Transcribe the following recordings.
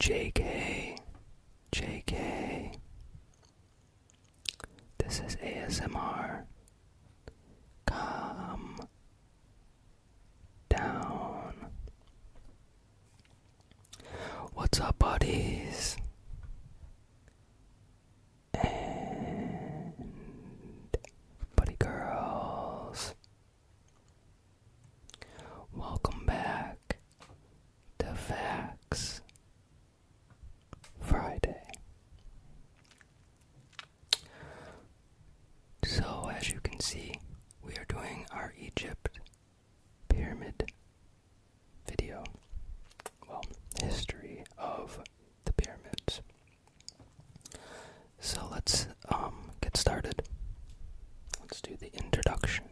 JK, JK. This is ASMR Come down. What's up, buddies? And buddy girls. Welcome back to Facts Friday. So, as you can see, we are doing our Egypt pyramid video. Well, history of the pyramids. So let's um, get started. Let's do the introduction.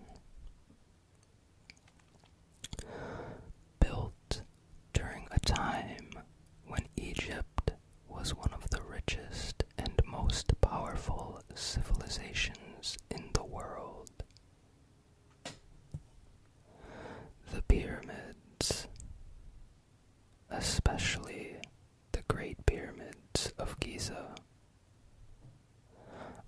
Built during a time when Egypt was one of the richest and most powerful civilizations in the world. The pyramids, especially the Great Pyramids of Giza,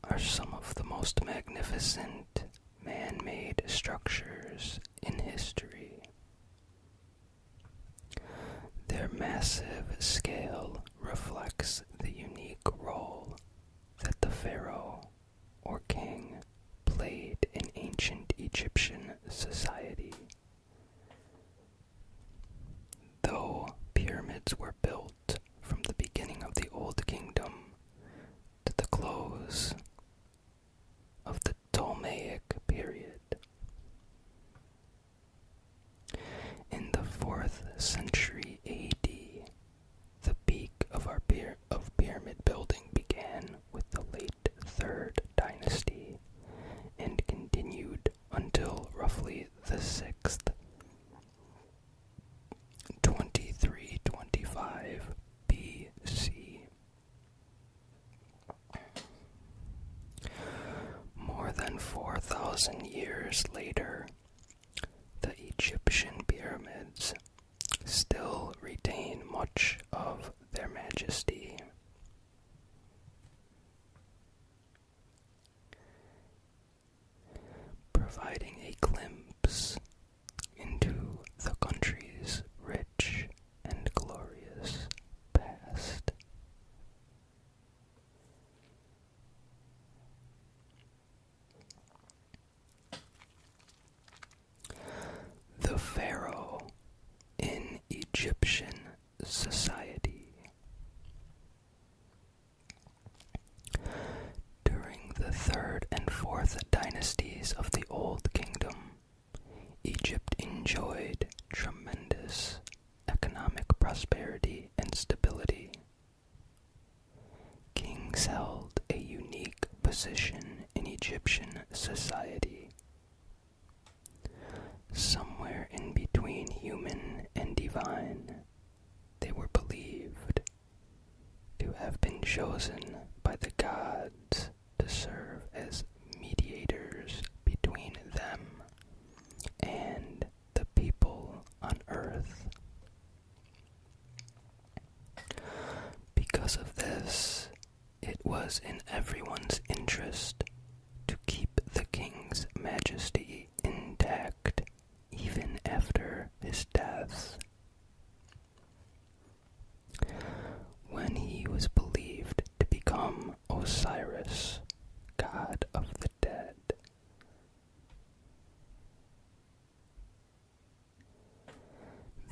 are some of the most magnificent man made structures in history. Their massive scale reflects the unique role that the pharaoh or king played in ancient Egyptian society. Though pyramids were built from the beginning of the Old Kingdom to the close of the Ptolemaic period. In the 4th century AD, the peak of, our of pyramid building began with the late 3rd dynasty and continued until roughly the 6th. 2325 BC. More than 4,000 years later, the Egyptian pyramids still retain much of their majesty. Providing a glimpse into the country's rich and glorious past. The Pharaoh in Egyptian society. During the third and fourth dynasties of the Old Kingdom, Egypt enjoyed tremendous economic prosperity and stability. Kings held a unique position in Egyptian society. Somewhere in between human and divine, they were believed to have been chosen by the gods to serve as mediators between them and the people on earth. Because of this, it was in everyone's interest to keep the king's majesty intact even after his death. When he was believed to become Osiris, god of the dead.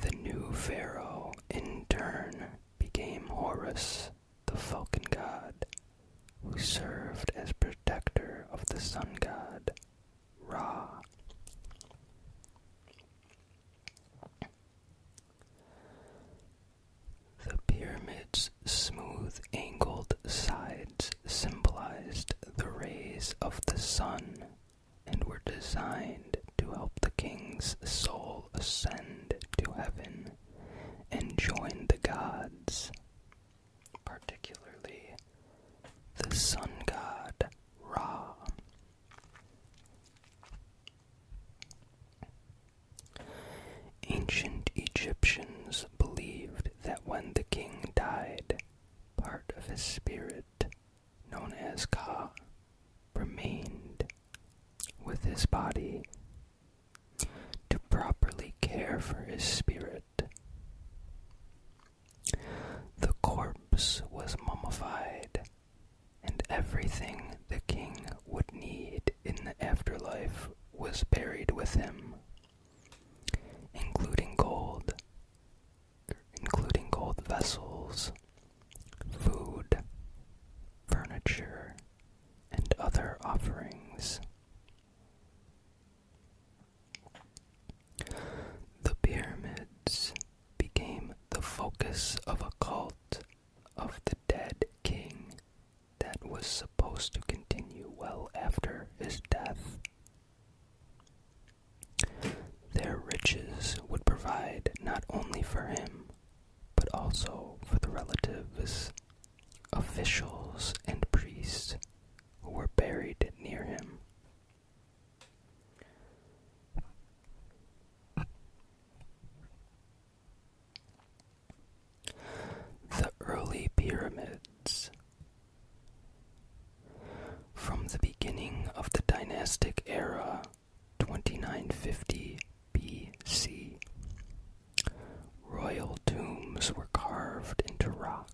The new pharaoh, in turn, became Horus, the falcon god, who served as protector of the sun god, Ra. The pyramid's smooth angled sides symbolized the rays of the sun and were designed to help the king's soul ascend to heaven and join the gods, particularly the sun god Ra. Ancient Egyptians believed that when the king died, part of his spirit, known as Ka, remained with his body. To properly care for his spirit, the corpse was mummified, and everything the king would need in the afterlife was buried with him, including gold, including gold vessels, food, furniture, and other offerings. The pyramids became the focus of a cult of the dead king that was supposed to continue well after his death. Their riches would provide not only for him, but also for the relatives, officials, and priests who were buried near him. The early pyramids. From the beginning of the dynastic era, 2950 BC, royal tombs were carved into rock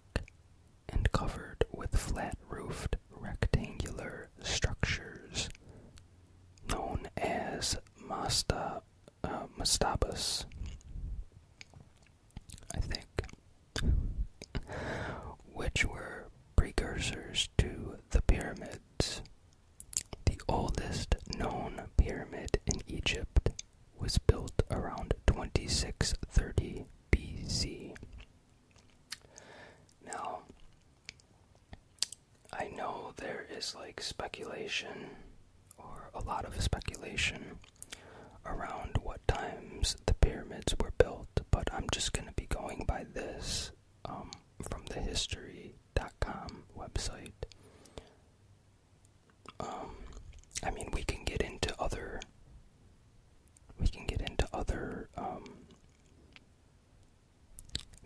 and covered with flat-roofed rectangular structures known as uh, mastabas, I think, which were precursors to the pyramids. The oldest known pyramid in Egypt was built around 2630 BC now, I know there is like speculation, or a lot of speculation, around what times the pyramids were built, but I'm just going to be going by this um, from the history.com website. Um, I mean, we can get into other we can get into other um,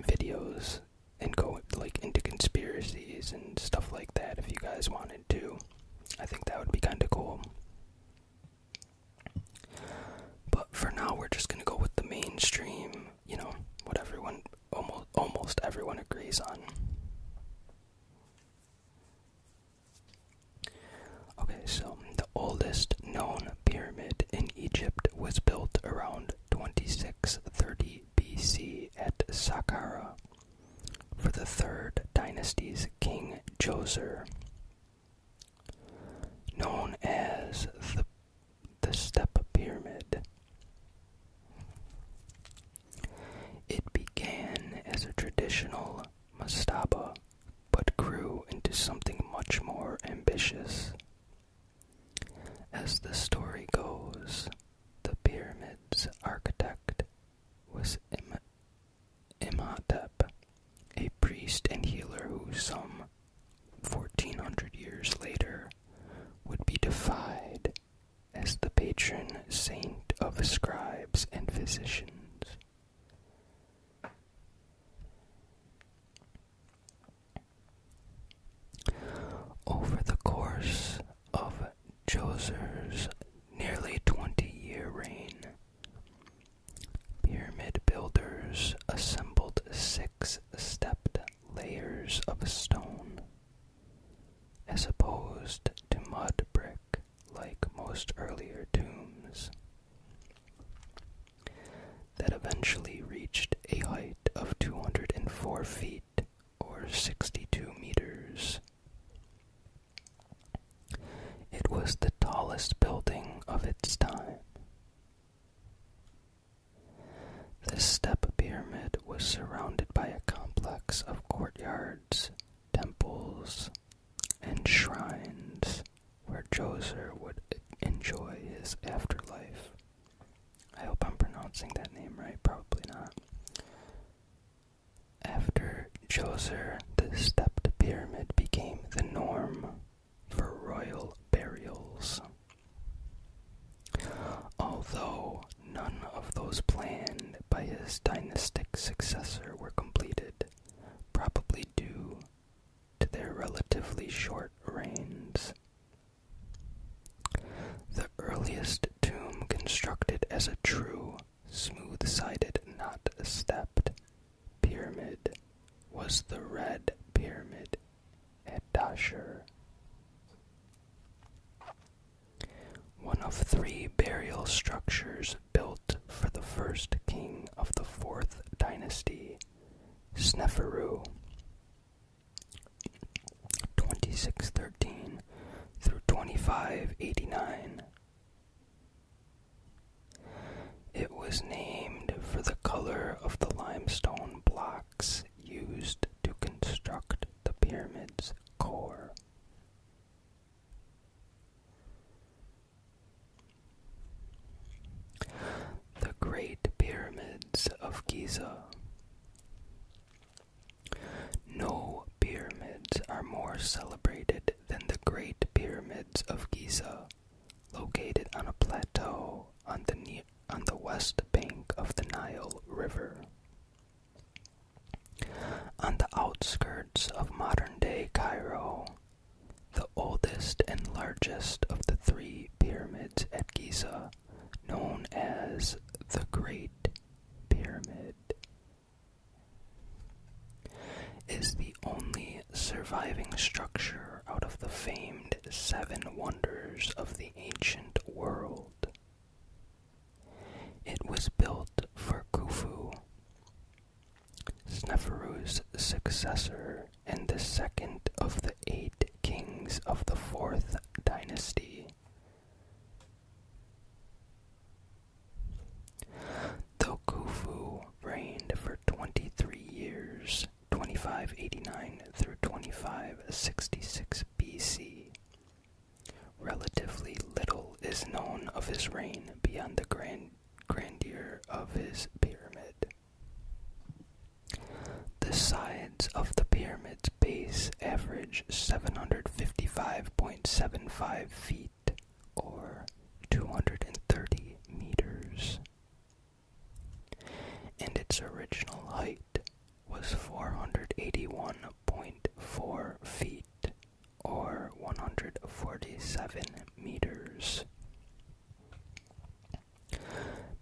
videos and go like into conspiracies and stuff like that if you guys wanted to. I think that would be kind of cool. But for now, we're just gonna go with the mainstream, you know, what everyone almost almost everyone agrees on. Okay, so the oldest known pyramid in Egypt was built around 2630 BC at Saqqara for the third dynasty's king Djoser. Known as the, the Step Pyramid, it began as a traditional Mastaba, but grew into something much more ambitious. As the story goes, the pyramid's architect was Im Imhotep, a priest and healer who some 1400 years later would be defied as the patron saint of scribes and physicians. Over the course of Djoser's nearly 20 year reign, pyramid builders assembled six stepped layers of stone as opposed to mud brick like most earlier tombs, that eventually reached a height of 204 feet or 62 meters. It was the tallest building of its time. This step pyramid was surrounded by a complex of courtyards, temples, and shrines where Djoser would enjoy his afterlife. I hope I'm pronouncing that name right, probably not. After Djoser, the stepped pyramid became the norm for royal burials. Although none of those planned by his dynastic successor were completed, probably due to their relatively short reigns. The earliest tomb constructed as a true, smooth sided, not stepped pyramid was the Red Pyramid at Dashur. One of three burial structures built for the first king of the fourth dynasty, Sneferu. 2613 through 2589. It was named for the color of the limestone blocks used to construct the pyramid's core. The Great Pyramids of Giza. No pyramids are more celebrated than the Great Pyramids of Giza, located on a plateau on the, west bank of the Nile River. On the outskirts of modern day Cairo, the oldest and largest of the three pyramids at Giza, known as the Great Pyramid, is the only surviving structure out of the famed Seven Wonders of the Ancient World. It was built for Khufu, Sneferu's successor and the second of the eight kings of the fourth dynasty. Though reigned for 23 years, 2589 through 2566 BC, Relatively little is known of his reign beyond the grandeur of his pyramid. The sides of the pyramid's base average 755.75 feet or 230 meters, and its original height was 481 1.4 feet or 147 meters,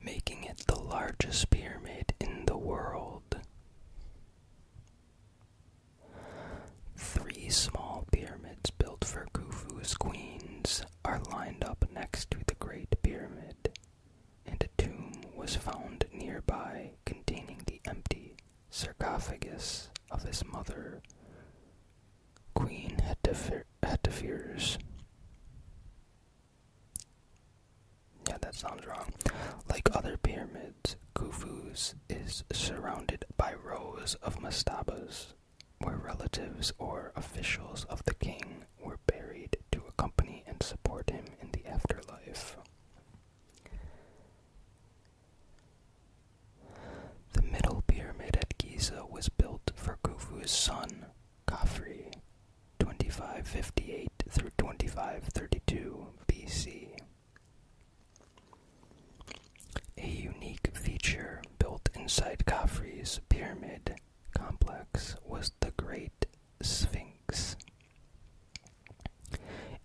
making it the largest pyramid in the world. Three small pyramids built for Khufu's queens are lined up next to the Great Pyramid, and a tomb was found nearby containing the empty sarcophagus of his mother, Queen Hetephires. Yeah, that sounds wrong. Like other pyramids, Khufu's is surrounded by rows of mastabas, where relatives or officials of the king were buried to accompany and support him in the afterlife. The middle pyramid at Giza was built for Khufu's son, Khafre, 2558 through 2532 BC. A unique feature built inside Khafre's pyramid complex was the Great Sphinx.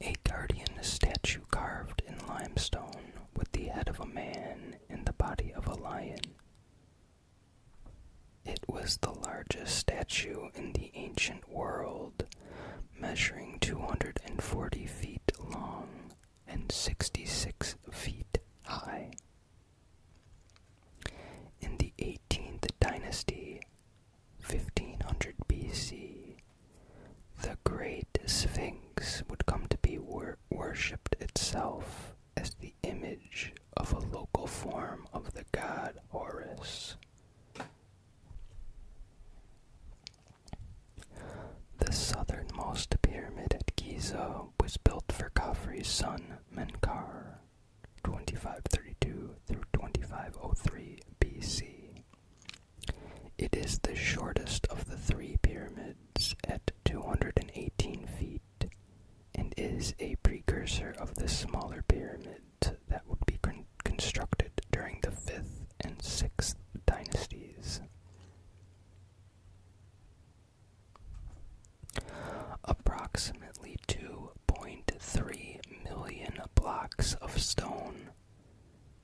A guardian statue carved in limestone with the head of a man and the body of a lion. It was the largest statue in the ancient world, measuring 240 feet long and 66 feet high. In the 18th dynasty, 1500 BC, the Great Sphinx would come to be worshipped itself as the image of a local form of the god Horus. The southernmost pyramid at Giza was built for Khafre's son Menkar, 2532 through 2503 BC. It is the shortest of the three pyramids at 218 feet and is a precursor of the smaller pyramid that would be constructed during the 5th and 6th dynasties. Approximately 2.3 million blocks of stone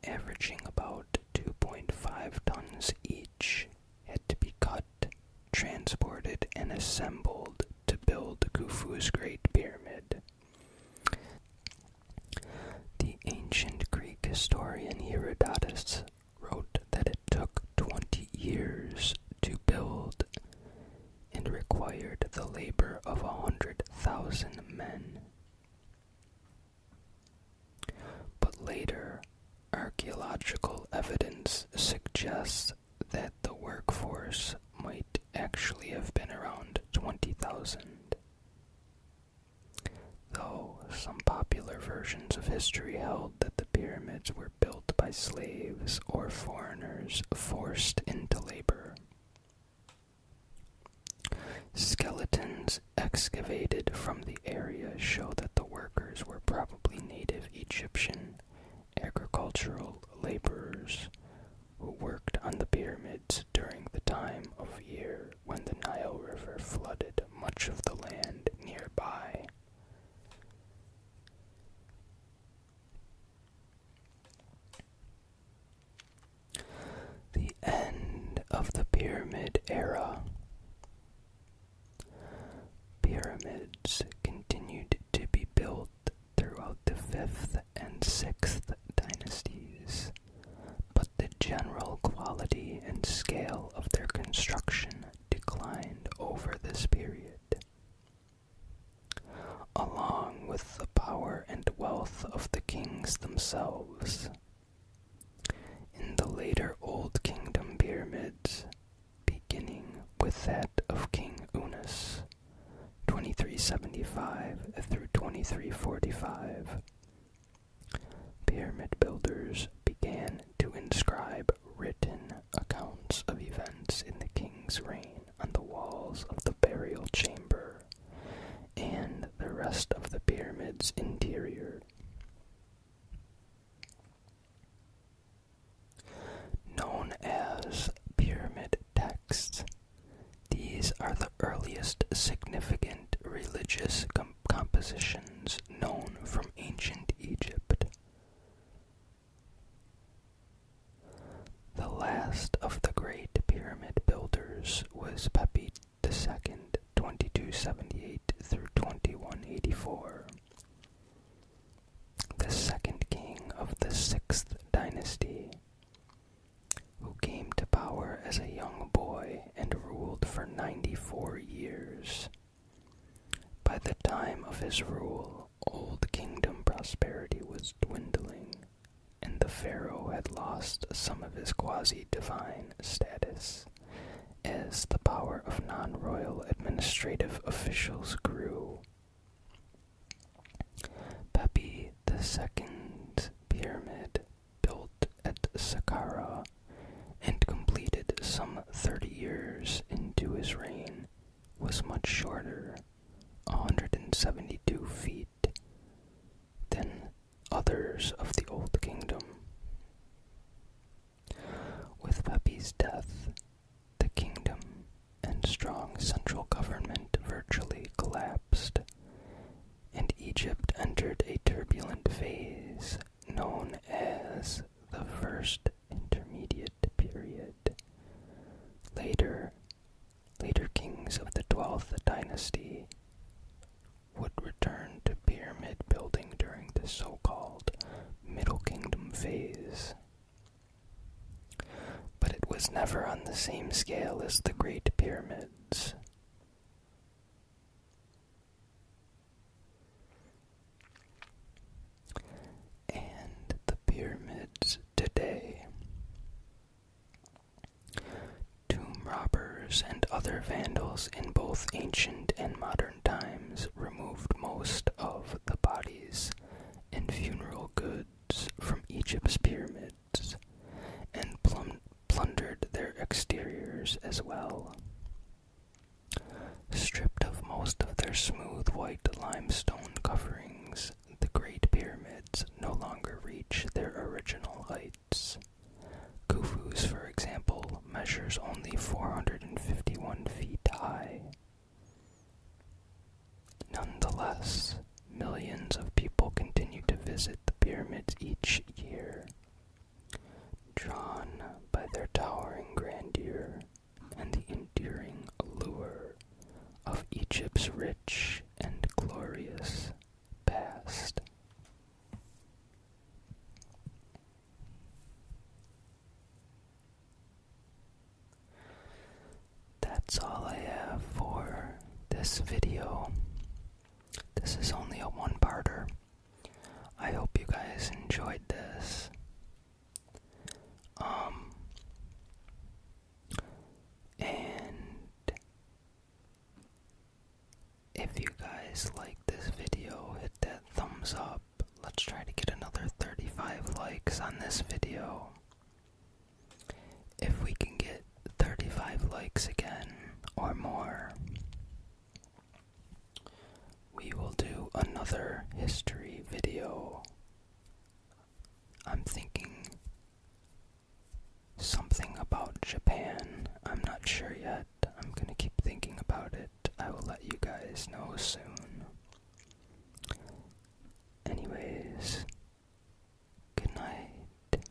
averaging about 2.5 tons each, had to be cut, transported, and assembled to build Khufu's Great Pyramid. The ancient Greek historian Herodotus wrote that it took 20 years to build and required the labor of a hundred thousand men but later, archaeological evidence suggests that the workforce might actually have been around 20,000. Though some popular versions of history held that the pyramids were built by slaves or foreigners forced into labor. Skeletons excavated from the area show that the workers were probably native Egyptian agricultural laborers who worked on the pyramids during the time of year when the Nile River flooded much of the land nearby. The end of the Pyramid Era. Pyramids continued to be built throughout the 5th and 6th dynasties, but the general quality and scale of their construction declined over this period along with the power and wealth of the kings themselves. In the later Old Kingdom pyramids, beginning with that of King Unis, 2375 through 2345, pyramid builders began to inscribe written accounts of events in the king's reign on the walls of the burial chamber and the rest of the pyramid's interior. Known as pyramid texts, these are the earliest significant religious compositions known from ancient Egypt. The last of the great pyramid builders was Pepi II, 2278 through 2184. The second king of the sixth dynasty, who came to power as a young boy and ruled for 94 years. By the time of his rule, Old Kingdom prosperity was dwindling, and the pharaoh had lost some of his quasi-divine status as the power of non-royal administrative officials grew. Pepi II's pyramid, built at Saqqara and completed some 30 years into his reign, was much shorter 172 feet Then, others of the Old Kingdom. With Pepi's death, the kingdom and strong central government virtually collapsed, and Egypt entered a turbulent phase known as the First Intermediate Period. Later, later kings of the 12th dynasty would return to pyramid building during the so called Middle Kingdom phase. But it was never on the same scale as the Great Pyramids. And the pyramids today. Tomb robbers and other vandals in both ancient and modern times removed most of the bodies and funeral goods from Egypt's pyramids and plundered their exteriors as well. Stripped of most of their smooth white limestone coverings, the Great Pyramids no longer reach their original heights. Khufu's, for example, measures only 451 feet high. Nonetheless, millions of people continue to visit the pyramids each year, drawn by their towering grandeur and the enduring allure of Egypt's rich and glorious past. That's all I have for this video. This is only a one-parter. I hope you guys enjoyed this. Um, and if you guys like this video, hit that thumbs up. Let's try to get another 35 likes on this video. If we can get 35 likes again or more, we will do another history video I'm thinking something about Japan. I'm not sure yet. I'm gonna keep thinking about it. I will let you guys know soon. Anyways, good night.